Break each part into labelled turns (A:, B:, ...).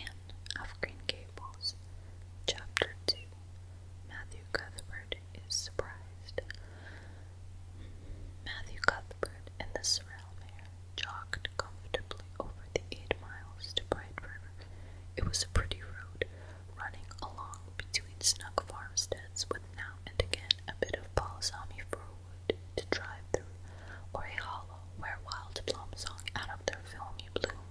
A: Anne of Green Gables, Chapter 2. Matthew Cuthbert is surprised. Matthew Cuthbert and the Sorrel jogged comfortably over the eight miles to Bright It was a pretty road, running along between snug farmsteads with now and again a bit of balsamy furrow wood to drive through, or a hollow where wild plum song out of their filmy bloom.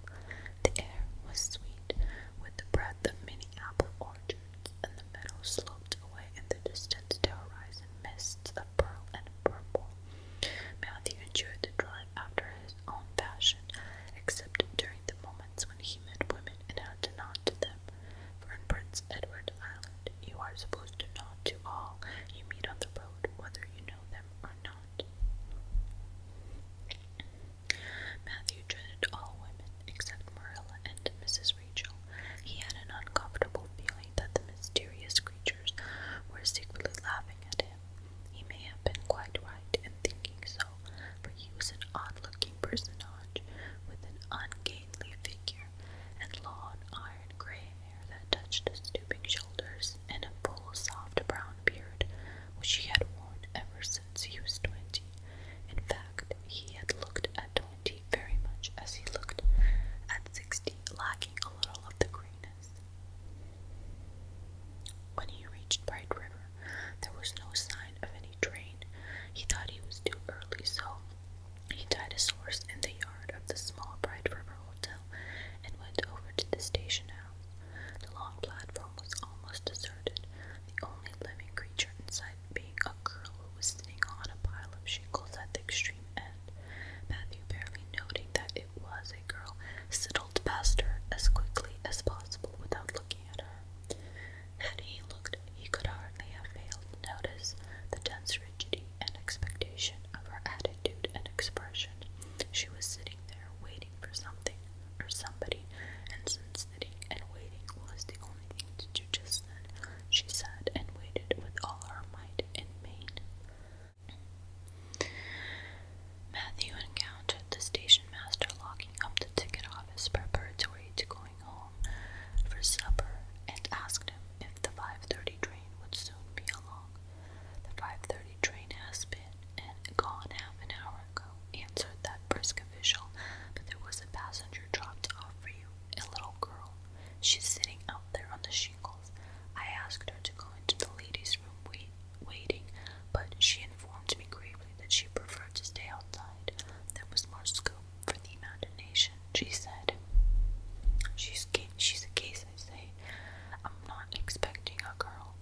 A: The air was sweet with the breath of many apple orchards, and the meadow sloped away in the distance to horizon mists of pearl and purple. Matthew enjoyed the drive after his own fashion, except during the moments when he met women and had to nod to them, for in Prince Edward Island you are supposed to nod to all you meet on the road, whether you know them or not. Matthew dreaded all women except Marilla and Mrs. Rachel. He had an uncomfortable feeling that the mysterious creatures were secretly laughing at him. He may have been quite right in thinking so, for he was an odd-looking personage with an ungainly figure and long iron gray that touched his stooping shoulders, and a full, soft brown beard which he had worn ever since he was twenty. In fact, he had looked at twenty very much as he looked at sixty, lacking a little of the greenness. When he reached Bright River, there was no sign of any train. He thought he was too early, so he tied his horse in the yard of the small Bright River Hotel and went over to the station house. The long platform was almost deserted, the only living creature in sight being a girl who was sitting on a pile of shingles at the extreme end. Matthew, barely noting that it was a girl, sidled past her as quickly as possible without looking at her. Had he looked, he could hardly have failed to notice the dense rigidity and expectation of her attitude and expression. She was sitting there waiting for something or somebody, and since sitting and waiting was the only thing to do just then, she sat and waited with all her might and main. Matthew encountered the station master locking up the ticket office preparatory to going home for supper and asked him if the 5.30 train would soon be along. The 5.30 train has been and gone half an hour ago, answered that brisk official, but there was a passenger dropped off for you, a little girl. She's sitting out there on the shingles. I asked her to go into the ladies' room wait, waiting, but she informed me gravely that she preferred to stay outside. There was more scope for the imagination, she said. She's, she's a case, I say. I'm not expecting a girl,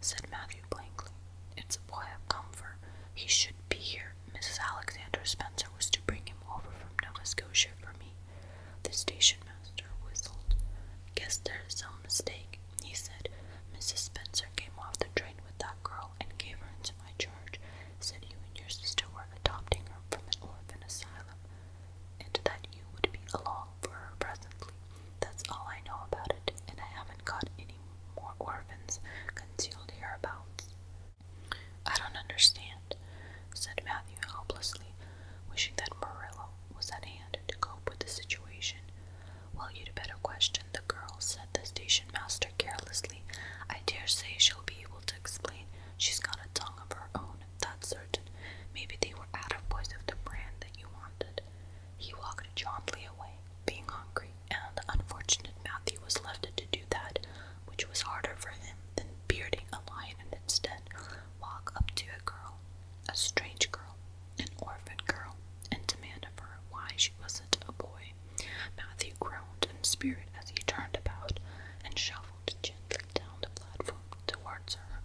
A: said Matthew blankly. It's a boy I've come for. He should be here. Mrs. Alexander Spencer was to bring him over from Nova Scotia for me. The station master whistled. Guess there's some mistake, he said. Mrs. Spencer came off the train with that girl and gave her into my charge. Said you and your sister were adopting her from an orphan asylum and that you would be along for her presently. That's all I know about it, and I haven't got any more orphans concealed hereabouts. I don't understand, said Matthew helplessly, wishing that Marilla was at hand to cope with the situation. Well, you'd better question the girl, said the station master carelessly. I dare say she'll be able to explain. She's got a tongue of her own that's certain. Maybe they were out of boys of the brand that you wanted. He walked jauntily away, being hungry, and unfortunate Matthew was left to do that which was harder for him than bearding a lion and instead walk up to a girl, a strange girl, an orphan girl, and demand of her why she wasn't a boy. Matthew groaned in spirit as he turned about and shoved gently down the platform towards her.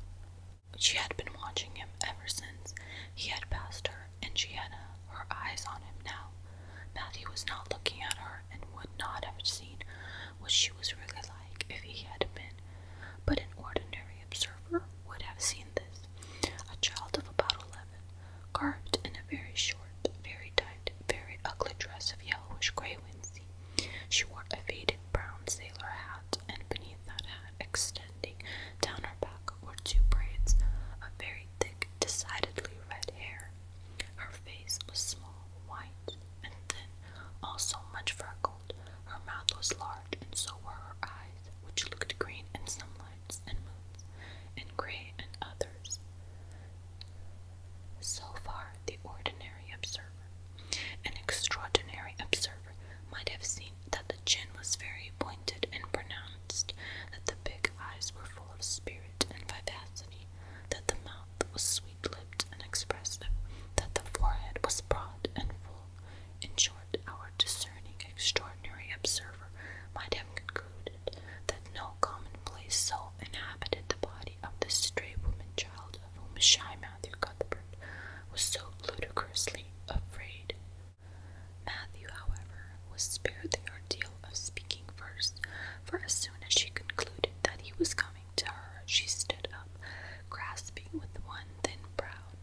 A: She had been watching him ever since he had passed her, and she had uh, her eyes on him now. Matthew was not looking at her and would not have seen what she was really like if he had been, but an ordinary observer would have seen this. A child of about eleven, garbed in a very short, very tight, very ugly dress of yellowish grey winsey, she wore a faded brown sailor hat, and beneath that hat, extending down her back, were two braids of very thick, decidedly red hair. Her face was small, white, and thin, also much freckled. Her mouth was large, and so were her eyes, which looked green in some lights and moons, and grey in others. So far, the ordinary observer an extraordinary observer might have seen that the chin was very pointed and pronounced, that the big eyes were full of spirit and vivacity, that the mouth was sweet lipped and expressive, that the forehead was broad and full. In short, our discerning, extraordinary observer might have concluded that no commonplace soul inhabited the body of this stray woman child child, of whom shy Matthew Cuthbert was so ludicrously afraid. Matthew, however, was spared the ordeal of speaking first, for as soon as she concluded that he was coming to her, she stood up, grasping with one thin brown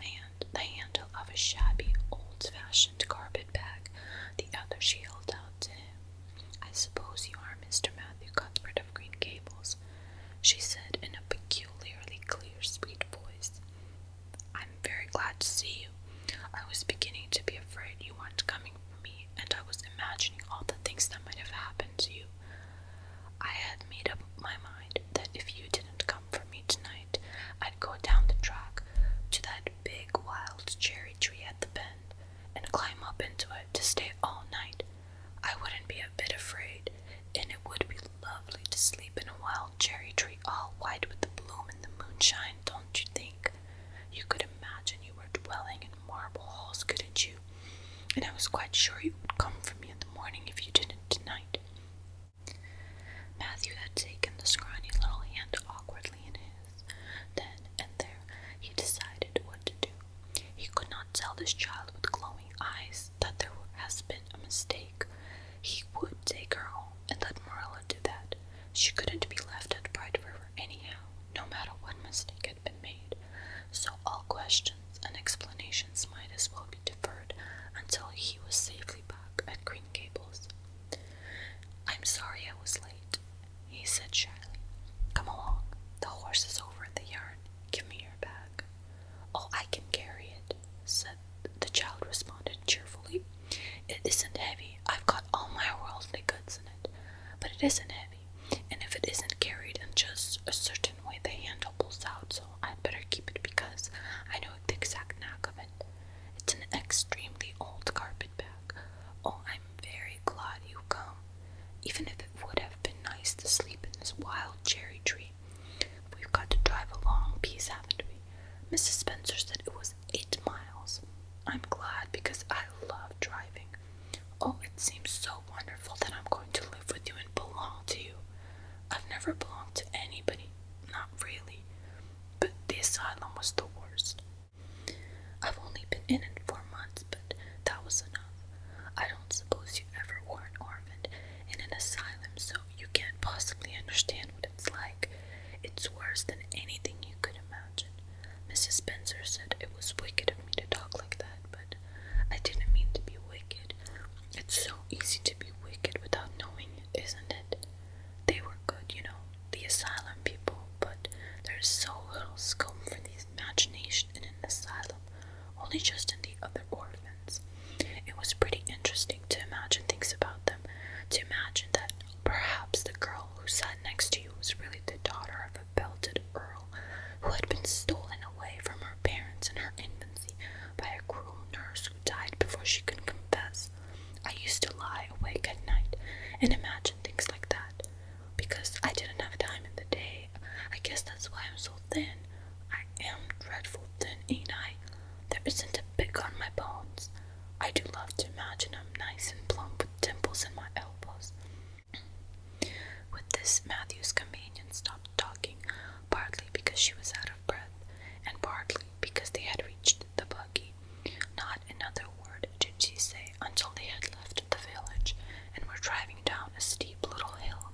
A: hand the handle of a shabby, old-fashioned carpet bag, the other she held out to him. I suppose you are Mr. Matthew Cuthbert of Green Gables, she said in a peculiarly clear, sweet voice. I'm very glad to see you. I was beginning to be afraid you weren't coming for me, and I was imagining all the things that might have happened to you. I had made up my mind that if you didn't come for me tonight, I'd go down the track to that big wild cherry tree at the bend and climb up into it to stay all night I wouldn't be a bit afraid, and it would be lovely to sleep in a wild cherry tree all white with the bloom and the moonshine, don't you think? You could imagine you were dwelling in marble halls, couldn't you? And I was quite sure you would come for me in the morning if you didn't tonight. Matthew had taken the scrawny little hand awkwardly in his. Then and there, he decided what to do. He could not tell this child with glowing eyes that there has been a mistake. He would take her home and let Marilla do that. She couldn't be left at Bright River anyhow, no matter what mistake had been made. So all questions and explanations might as well be deferred until he was safely back at Green Gables. I'm sorry I was late, he said shyly. Come along. The horse is over in the yard Give me your bag. Oh, I can carry it, said the child responded cheerfully. It isn't heavy. I've got all my worldly goods in it, but it isn't heavy, and if it isn't carried in just a certain way, the handle pulls out, so I'd better keep it because I know the exact knack of it. It's an extremely old carpet bag. Oh, I'm very glad you have come, even if it would have been nice to sleep in this wild cherry tree, we've got to drive a long piece, haven't we? Mrs. Spencer said it was eight miles. I'm glad because I love driving. Oh, it seems so wonderful that I'm going to live with you and belong to you. I've never belonged to anybody, not really, but the asylum was the worst. I've only been in it four months, but that was enough. I don't suppose you ever were an orphan in an asylum, so you can't possibly understand what it's like. It's worse than anything you could imagine. Mrs. Spencer said it was wicked of me to talk like that, but I didn't mean to be wicked. It's so easy to be wicked without knowing it, isn't it? They were good, you know, the asylum people, but there's so little scope for these imagination in an asylum, only just in the other orphans. It was pretty interesting to imagine things about them, to imagine that perhaps the girl who sat next to you was really the daughter of a belted earl who had been stolen away from her parents in her infancy by a cruel nurse who died before she could confess. I used to lie awake at night and imagine things like that because I didn't have time in the day. I guess that's why I'm so thin. I am dreadful thin, ain't I? There isn't a pick on my bones. I do love to imagine I'm nice and plump with dimples in my elbows. With this, Matthew's companion stopped talking, partly because she was out of breath, and partly because they had reached the buggy. Not another word did she say until they had left the village, and were driving down a steep little hill,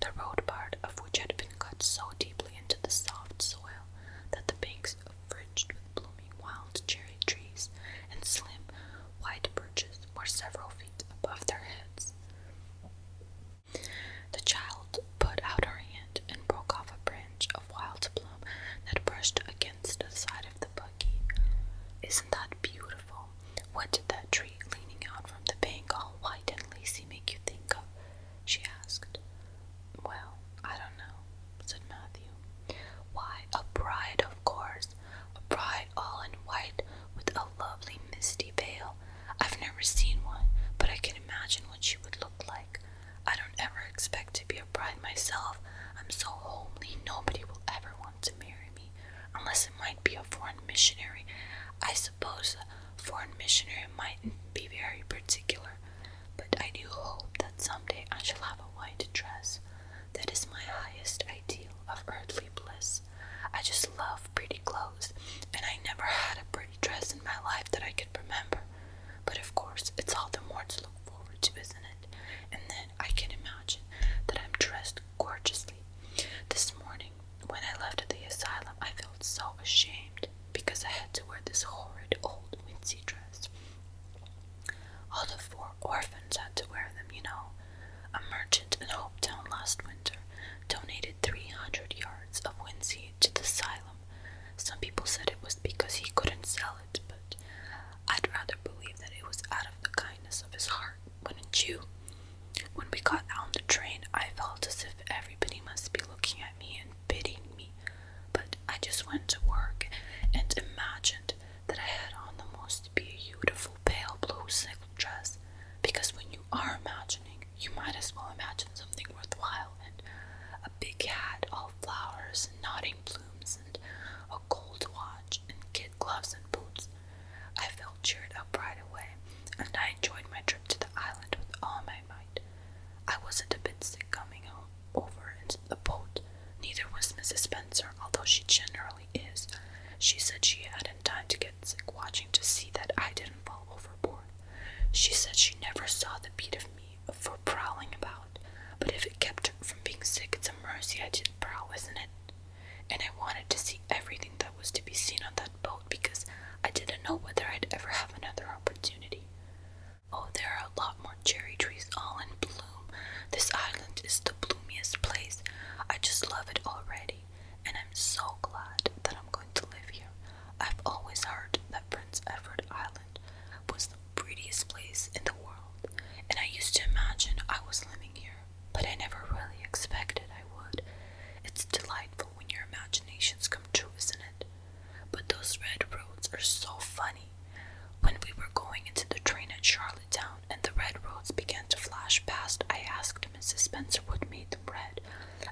A: the road part of which had been cut so deeply into the soft soil that the banks fringed with blooming wild cherry trees and slim, white birches were several feet above their heads. The child put out her hand and broke off a branch of wild plum that brushed against the side of the boat. Isn't that beautiful? What did that tree leaning out from the bank all white and lacy make you think of? she asked. Well, I don't know, said Matthew. Why, a bride, of course. A bride all in white with a lovely misty veil. I've never seen one, but I can imagine what she would look like. I don't ever expect to be a bride myself. I'm so homely, nobody will ever want to marry unless it might be a foreign missionary. I suppose a foreign missionary mightn't be very particular, but I do hope that someday I shall have a white dress. That is my highest ideal of earthly bliss. I just love pretty clothes, and I never had a pretty dress in my life that I could remember. But of course, it's all the more to look forward to, isn't it? And then I can imagine that I'm dressed gorgeously. This morning, when I left the asylum, I felt so ashamed because I had to wear this horrid old wincey dress. All the four orphans had to wear them, you know. A merchant in Hopetown last winter donated 300 yards of wincey to the asylum. Some people said it was because he couldn't sell it, but I'd rather believe that it was out of the kindness of his heart wouldn't you? When we got on the train, I felt as if everybody must be looking at me and pitying me, but I just went to work and imagined that I had on the most beautiful pale blue silk dress, because when you are imagining, you might as well imagine something worthwhile, and a big hat all flowers and nodding plumes, and a gold watch, and kid gloves and boots, I felt cheered up right away, and I enjoyed my trip to the island with all my might. I wasn't a bit sick coming home over in the boat, neither was Mrs. Spencer, although she generally is. She said she hadn't time to get sick watching to see that I didn't fall overboard. She said she never saw the beat of me for prowling about, but if it kept her from being sick, it's a mercy I didn't prowl, isn't it? and I wanted to see everything that was to be seen on that boat because I didn't know whether I'd ever have another opportunity. Oh, there are a lot more cherry trees all in bloom. This island is the bloomiest place. I just love it already, and I'm so glad that I'm going to live here. I've always heard that Prince Edward Island was the prettiest place in the world, and I used to imagine I was living here but I never really expected I would. It's delightful when your imaginations come true, isn't it? But those red roads are so funny. When we were going into the train at Charlottetown and the red roads began to flash past, I asked Mrs. Spencer what made them red,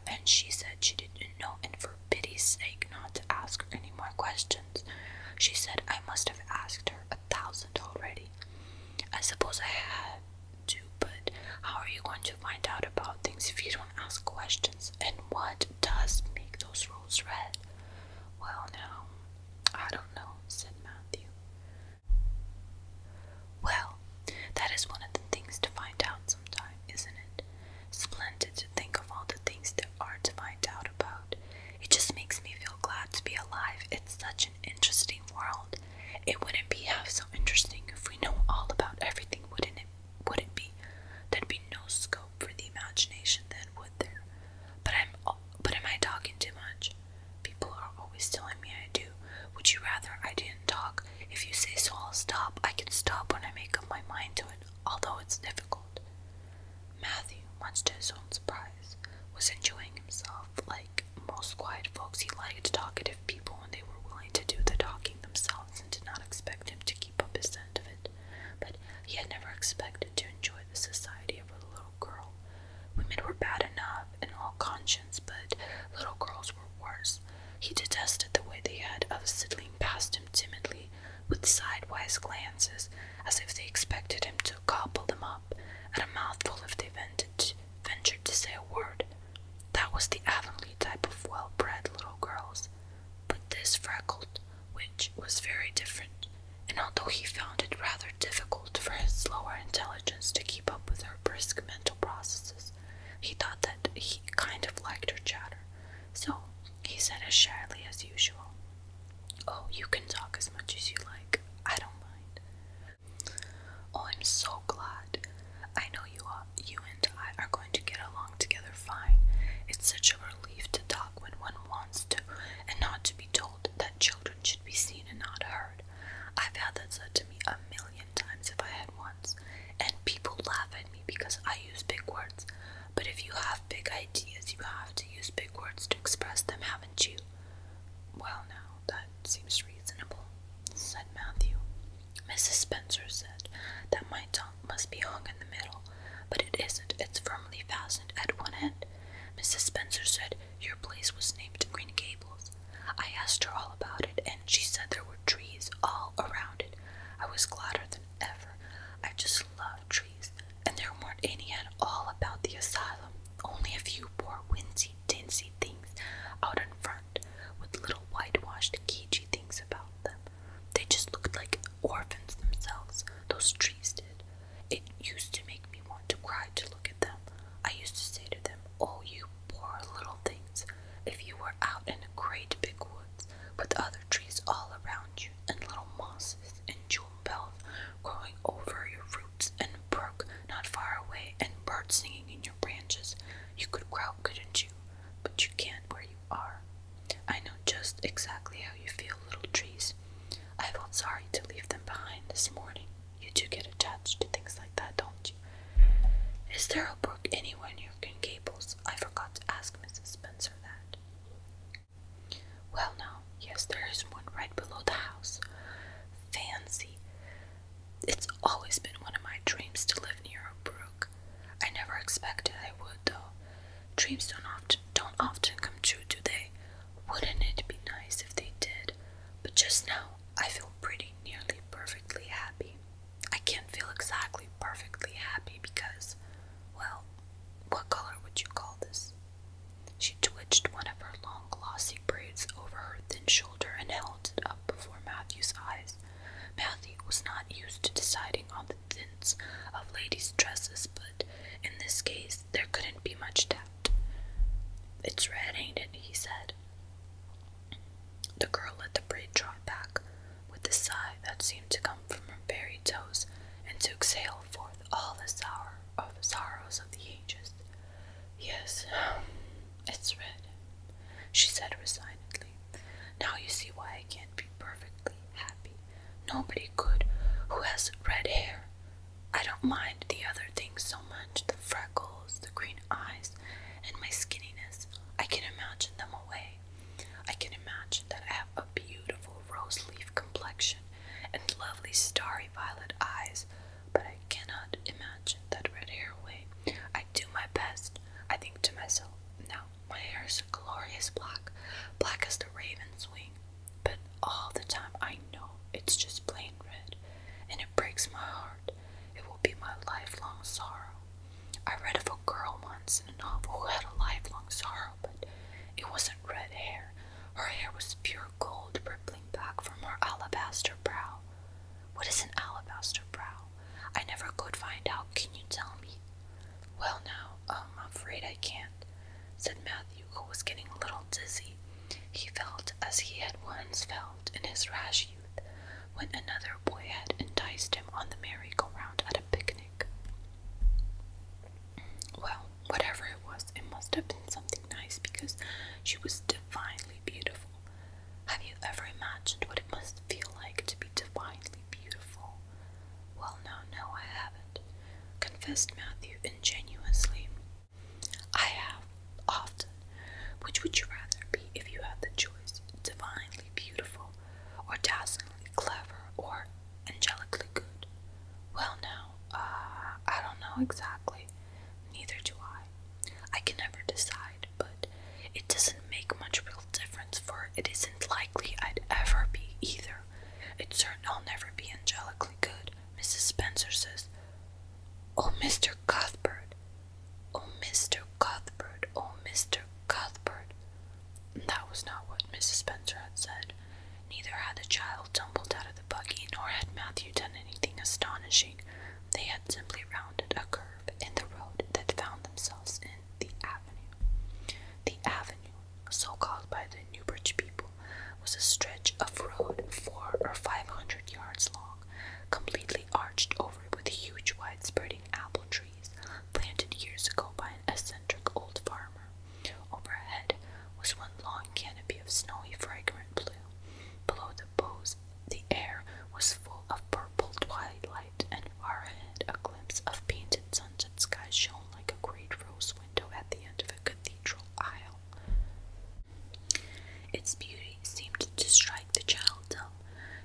A: and she said she didn't know, and for pity's sake, not to ask her any more questions. She said I must have asked her a thousand already. I suppose I had do, but how are you going to find out about things if you don't ask questions? And what does make those rules red? Well, now, I don't know, said Matthew. Well, that is one of the things to find out sometime, isn't it? Splendid to think of all the things there are to find out about. It just makes me feel glad to be alive. It's such an interesting world. It wouldn't be half so interesting if we know all about everything, wouldn't it? Would it be? There'd be no scope for the imagination then, would there? But I'm. But am I talking too much? People are always telling me I do. Would you rather I didn't talk? If you say so, I'll stop. I can stop when I make up my mind to it, although it's difficult. Matthew, much to his own surprise, was enjoying himself. Like most quiet folks, he liked talkative people when they were willing to do the talking themselves and did not expect him to keep up his end of it. But he had never expected to enjoy the society of a little girl. Women were bad enough in all conscience, but little girls were worse. He detested the way they had of sidling past him timidly with sidewise glances, as if they expected him to gobble them up at a mouthful if they ventured ventured to say a word. That was the Avonlea type of well bred little girls, but this freckled which was very different, and although he found it rather difficult for his slower intelligence to keep up with her brisk mental processes, he thought that he kind of liked her chatter. So he said as shyly as usual, Oh, you can talk as much as you like. I don't mind. Oh, I'm so glad. I know you are, you and I are going to get along together fine. It's such a relief to talk when one wants to and not to be told that children should be seen and not heard. I've had that said to me a million times if I had once, and people laugh at me because I use big words. But if you have big ideas, you have to use big words to express them, haven't you? Well, now, that seems reasonable, said Matthew. Mrs. Spencer said that my tongue must be hung in the middle, but it isn't. It's firmly fastened at one end. Mrs. Spencer said your place was named Green Gables. I asked her all about it, and she said there were trees all around it. I was gladder than ever. I just love trees, and there weren't any at all about the asylum, only a few poor winsy chintzy things out in front with little whitewashed cagey things about them. They just looked like orphans themselves, those trees did. It used to make me want to cry to look at them. I used to say to them, Oh, you poor little things, if you were out in a great big woods with other trees all around you and little mosses and jewel bells growing over your and brook not far away and birds singing in your branches. You could crow, couldn't you? But you can't where you are. I know just exactly how you feel, little trees. I felt sorry to leave them behind this morning. You do get attached to things like that, don't you? Is there a brook anywhere near Green Gables? I forgot to ask Mrs. Spencer that. Well, no. Yes, there is one right below the house. Fancy. It's always been one of my dreams to live near a brook. I never expected I would, though. Dreams don't often, don't often come true, do they? Wouldn't it be nice if they did? But just now, I feel pretty nearly perfectly happy. I can't feel exactly perfectly happy because, well, what color would you call this? She twitched one of her long, glossy braids over her thin shoulder and held it up before Matthew's eyes. Matthew was not used to deciding on the thins of ladies' dresses, but in this case there couldn't be much doubt. It's red, ain't it? he said. The girl let the braid drop back with a sigh that seemed to come from her very toes and to exhale forth all the sour of sorrows of the ages. Yes, it's red, she said resignedly. Now you see why I can't be perfectly happy. Nobody could who has red hair. I don't mind the other things so much the freckles, the green eyes, and my skinniness. I can imagine them away. I can imagine that I have a beautiful rose leaf complexion and lovely starry violet eyes but I cannot imagine that red hair away. I do my best, I think to myself. Now, my hair is a glorious black, black as the raven's wing, but all the time I know it's just plain red, and it breaks my heart. It will be my lifelong sorrow. I read of a girl once in a novel who had a lifelong sorrow, but it wasn't red hair, her hair was pure gold rippling back from her alabaster brow. What is an alabaster brow? I never could find out. Can you tell me? Well, now, um, I'm afraid I can't, said Matthew, who was getting a little dizzy. He felt as he had once felt in his rash youth when another boy had enticed him on the merry-go-round at a picnic. Well, whatever it was, it must have been something nice because she was divinely beautiful. Have you ever imagined what it must feel like to be divinely beautiful? Well, no, no, I haven't, confessed Matthew ingenuously. I have, often. Which would you rather be if you had the choice? Divinely beautiful, or dazzlingly clever, or angelically good? Well, now, uh, I don't know exactly, Neither do I. I can never decide, but it doesn't make much real difference, for it isn't likely I'd ever be either. It's certain I'll never be angelically good, Mrs. Spencer says. Oh, Mr. Cuthbert! Oh, Mr. Cuthbert! Oh, Mr. Cuthbert! That was not what Mrs. Spencer had said. Neither had the child tumbled out of the buggy, nor had Matthew done anything astonishing they had simply rounded a curve in the road that found themselves in the avenue. The avenue, so called by the Newbridge people, was a stretch of road four or five hundred yards long, completely arched over with huge, wide-spreading apple trees planted years ago by an eccentric old farmer. Overhead, was one long canopy of snowy, fragrant blue. Below the bows, the air was full of purple twilight, and far ahead, a glimpse of painted sunset skies shone like a great rose window at the end of a cathedral aisle. Its beauty seemed to strike the child dumb.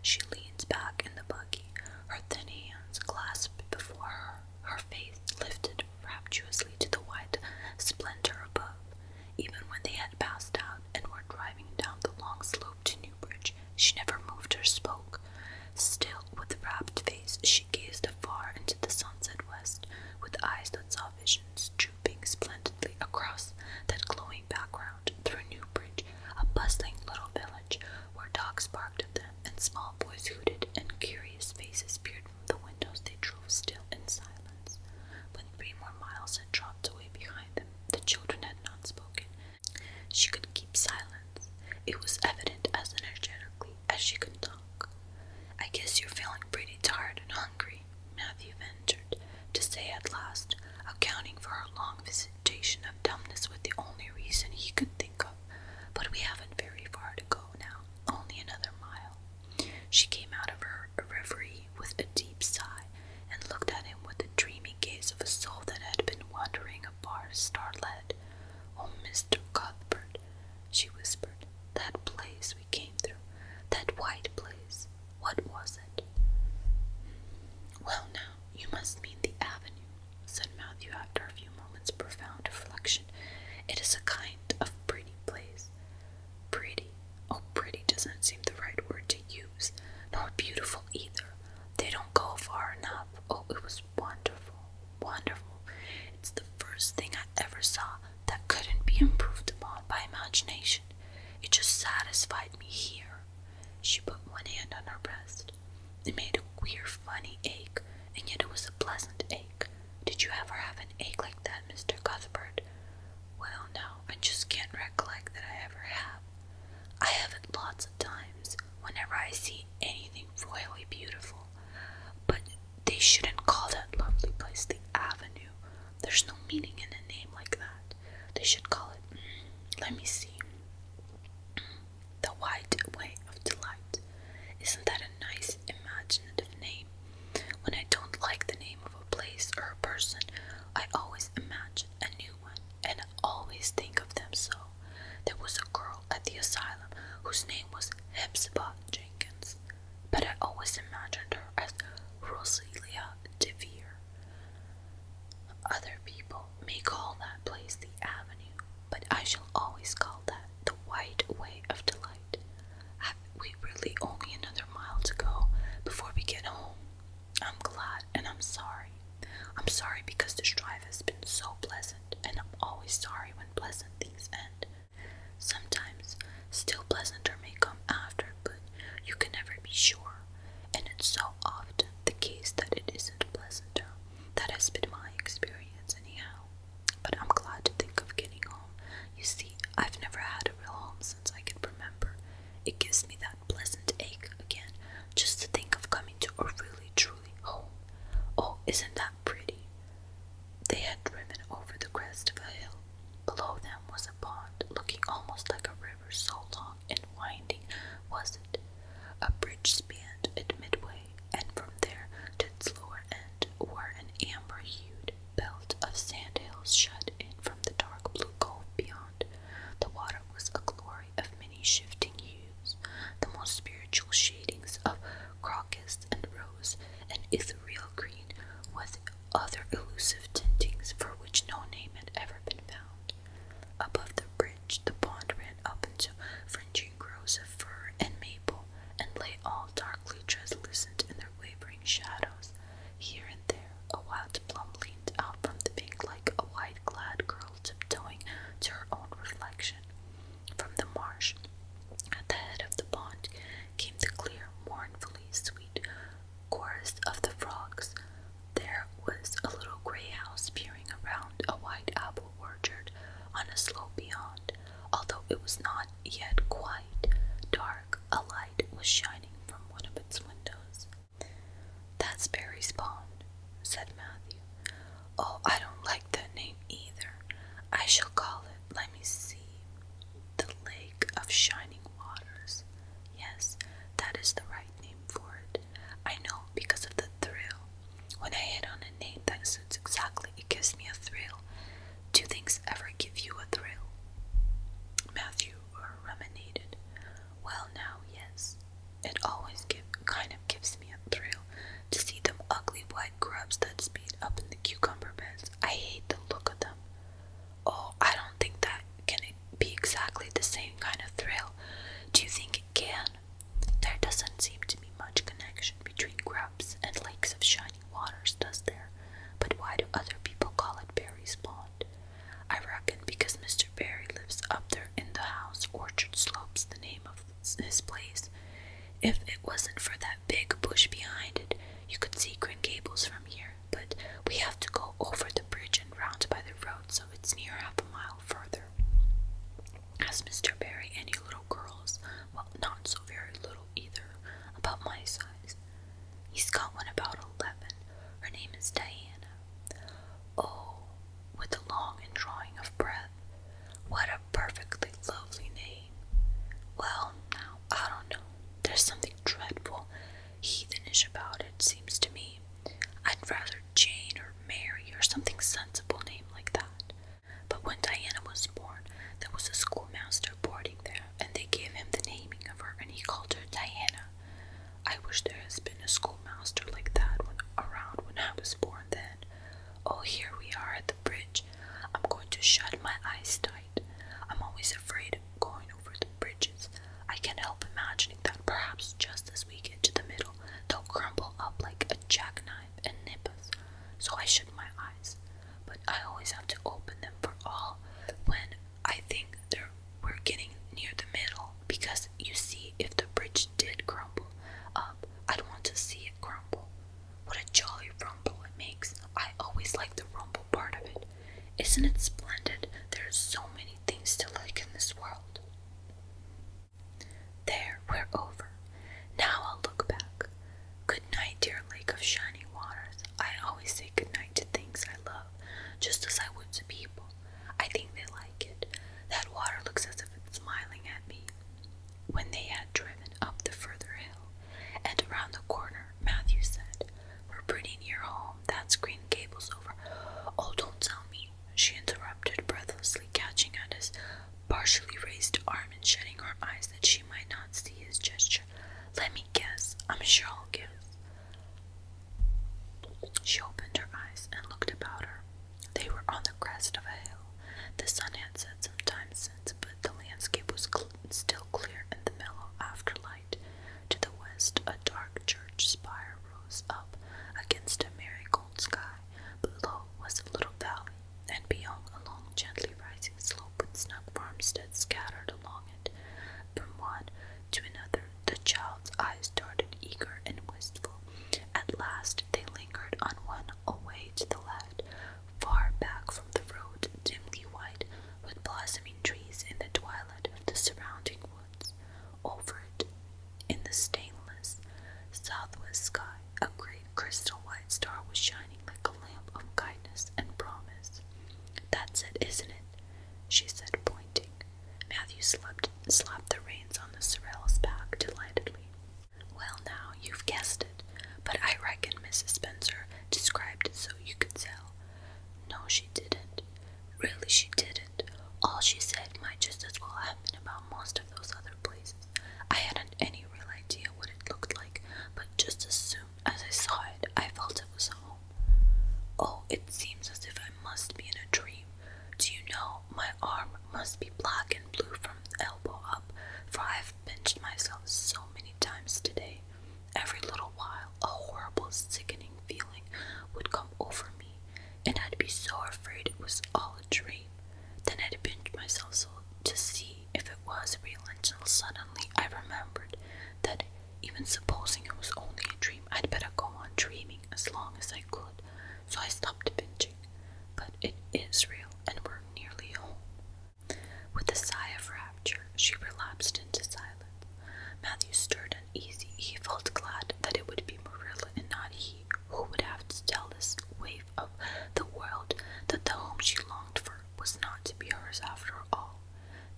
A: She leaned back in the buggy, her thin hands clasped before her, her face lifted rapturously to the white splendor above. Even when they had passed out and were driving down the long slope to Newbridge, she never moved or spoke. Still, with rapt face, she gazed afar into the sunset west, with eyes that saw visions drooping splendidly across that glowing background through Newbridge, a bustling little village where dogs barked at them and small boys hooted and curious faces peered the windows they drove still in silence. But three more miles had dropped away behind them, the children had not spoken. She could keep silence. It was evident as energetically as she could talk. I guess you're feeling pretty tired and hungry, Matthew ventured to say at last, accounting for her long visitation of dumbness with the only reason he could think of. But we haven't very far to go now, only another mile. She came out of her reverie with a deep sigh and looked at him with the dreamy gaze of a soul that had been wandering a bar starlit. Oh, Mr. Cuthbert, she whispered, that place we came through, that white place, what was it? Well, now, you must mean the avenue, said Matthew after a few moments' profound reflection. It is a kind of pretty place. Pretty. Oh, pretty doesn't seem the right word to use. Nor beautiful either. They don't go far enough. Oh, it was wonderful. Wonderful. It's the first thing I ever saw that couldn't be improved upon by imagination. It just satisfied me here. She put one hand on her breast. It made a queer, funny ache, and yet it was a pleasant ache. Did you ever have an ache like that, Mr. Cuthbert? Well, no, I just can't recollect that I ever have. I have it lots of times whenever I see anything royally beautiful. But they shouldn't call that lovely place the Avenue. There's no meaning in a name like that. They should call it, mm, let me see, mm, the Wide Way of Delight. Isn't that a nice imaginative name? When I don't like the name of a place or a person, I always imagine a new one and I always think of them so. There was a girl at the asylum whose name was Hepzibah Jenkins, but I always imagined her as Rosaliea DeVere. Other people may call that place the Avenue, but I shall always call that the Wide Way of Delight we really only another mile to go before we get home? I'm glad and I'm sorry. I'm sorry because this drive has been so pleasant, and I'm always sorry when pleasant things end. Sometimes, still pleasanter may come after, but you can never be sure. And it's so often the case that it isn't pleasanter. That has been my experience, anyhow. But I'm glad to think of getting home. You see, I've never had a real home since I can remember. It gives me that pleasant ache again just to think of coming to a really truly home. Oh, isn't that pretty? They had driven over the crest of a hill. Below them was a pond, looking almost like a river, so long and winding was it. A bridge spanned it midway, and from there to its lower end were an amber hued belt of sandhills shut in from the dark blue gulf beyond. The water was a glory of many shifting hues, the most spiritual shadings of crocus and rose and ethereal green, with other elusive tintings for which no name had ever been found. Above the bridge, the pond ran up into fringing groves of fir and maple, and lay all darkly translucent in their wavering shadows, here and there, a wild plum leaned out from the bank like a white clad girl tiptoeing to her own reflection. From the marsh, at the head of the pond, came the clear, mournfully sweet chorus of the frogs. There was a little grey house peering around a white apple orchard on a slope beyond, although it was not yet quite dark a light was shining from one of its windows. That's Barry's pond, said Matthew. Oh, I don't like that name either. I shall call it, let me see, the Lake of Shining Waters. Yes, that is the right name for it. I know because of the thrill. When I hit on a name that suits exactly, it gives me a thrill. Do things ever give you a thrill? Matthew ruminated. Well, now, yes. It always give, kind of gives me a thrill to see them ugly white grubs that speed up in the cucumber beds. I hate the look of them. Oh, I don't think that can be exactly the same kind of thrill. Do you think it can? There doesn't seem to be much connection between grubs and lakes of shiny waters, does there? But why do other people call it Barry's Pond? I reckon because Mr. Barry lives up there in the house. Orchard Slope's the name of his place. If it wasn't for that big bush behind it, you could see Green Gables from here. But we have to go over the bridge and round by the road, so it's near half a mile further. Has Mr. Barry any little girls? Well, not so very little either, about my size. He's got one about eleven. Her name is Diana. Oh, with a long and drawing of breath. What a perfectly lovely name. Well, now, I don't know. There's something dreadful, heathenish about it, seems to me. I'd rather Jane or Mary or something sensible name like that. But when Diana was born, there was a schoolmaster boarding there, and they gave him the naming of her, and he called her Diana. I wish there had been a schoolmaster like that when, around when I was born then. Oh, here we are at the bridge. I'm going to shut my eyes tight. I'm always afraid of going over the bridges. I can't help imagining that perhaps just as we get to the middle, they'll crumble up like a jackknife and nip us. So I shut my eyes but I always have to open them for all when I think they're we're getting near the middle because you see if the bridge did crumble up, I'd want to see it crumble. What a jolly rumble it makes. I always like the rumble part of it. Isn't it splendid? There are so many things to like in this world. There, we're over. Now I'll look back. Good night, dear lake of shining waters. I always say good night to things I love, just as I would to people. I think they like it. That water looks as if it's smiling at me. When they had driven up the further hill and around the corner, Matthew said, We're pretty near home. That's Green cables over. Oh, don't tell me, she interrupted, breathlessly catching at his partially raised arm and shutting her eyes that she might not see his gesture. Let me guess. I'm sure I'll guess. She opened her eyes and looked about her. They were on the crest of a hill. The sun had set some time since, but the landscape was cl still clear in the mellow afterlight. To the west, a dark church spire rose up against a merry gold sky. Below was a little valley, and beyond a long, gently rising slope with snug farmsteads scattered along it. From one to another, the child's eyes darted eager and wistful. At last, they lingered on one away to the left, far back from the road, dimly white with blossoming trees in the twilight of the surrounding woods. Over it, in the stainless southwest sky, a great crystal white star was shining like a lamp of kindness and promise. That's it, isn't it? She said, pointing. Matthew slapped, slapped the reins on the sorrel's back delightedly. Well, now, you've guessed it, but I reckon Mrs. Spencer described it so you could tell. No, she didn't. Really, she didn't. All she said might just as well have been about most of those other places. I hadn't any real idea what it looked like, but just as as I saw it, I felt it was home. Oh, it seems as if I must be in a dream. Do you know, my arm must be black and blue from elbow up, for I have pinched myself so many times today. Every little while, a horrible, sickening feeling would come over me, and I'd be so afraid it was all a dream. Then I'd pinch myself so to see if it was real until suddenly I remembered that even supposing it was only a dream, I'd better go on dreaming as long as I could, so I stopped pinching. But it is real, and we're nearly home. With a sigh of rapture, she relapsed into silence. Matthew stirred uneasy. He felt glad that it would be Marilla and not he who would have to tell this wave of the world that the home she longed for was not to be hers after all.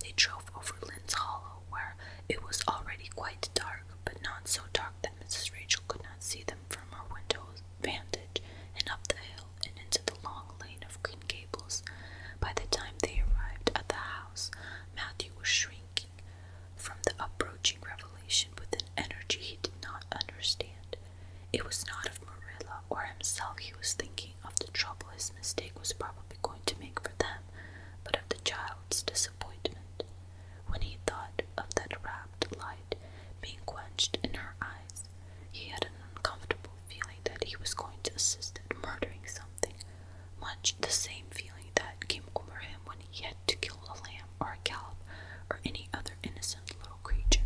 A: They drove over Lynn's Hollow, where it was already quite dark, but not so dark that Mrs. Rachel could not see them from her window vantage, and up the hill and into the long lane of Green Gables. By the time they arrived at the house, Matthew was shrinking from the approaching revelation with an energy he did not understand. It was not of Marilla or himself he was thinking of the trouble his mistake was probably going to make for them, but of the child's disappointment. When he thought of that rapt light being quenched in her eyes, he had an uncomfortable feeling that he was going to assist at murdering something, much the same feeling that came over him when he had to kill a lamb or a calf or any other innocent little creature.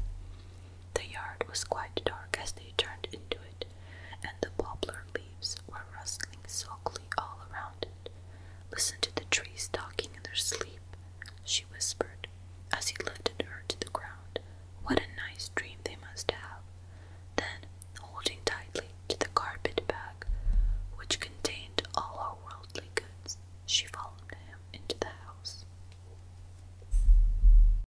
A: The yard was quite dark as they turned into it, and the poplar leaves were rustling sulkily all around it. Listen to the trees talking in their sleep, she whispered, as he lifted her to the ground. What a nice dream they must have. Then, holding tightly to the carpet bag, which contained all her worldly goods, she followed him into the house.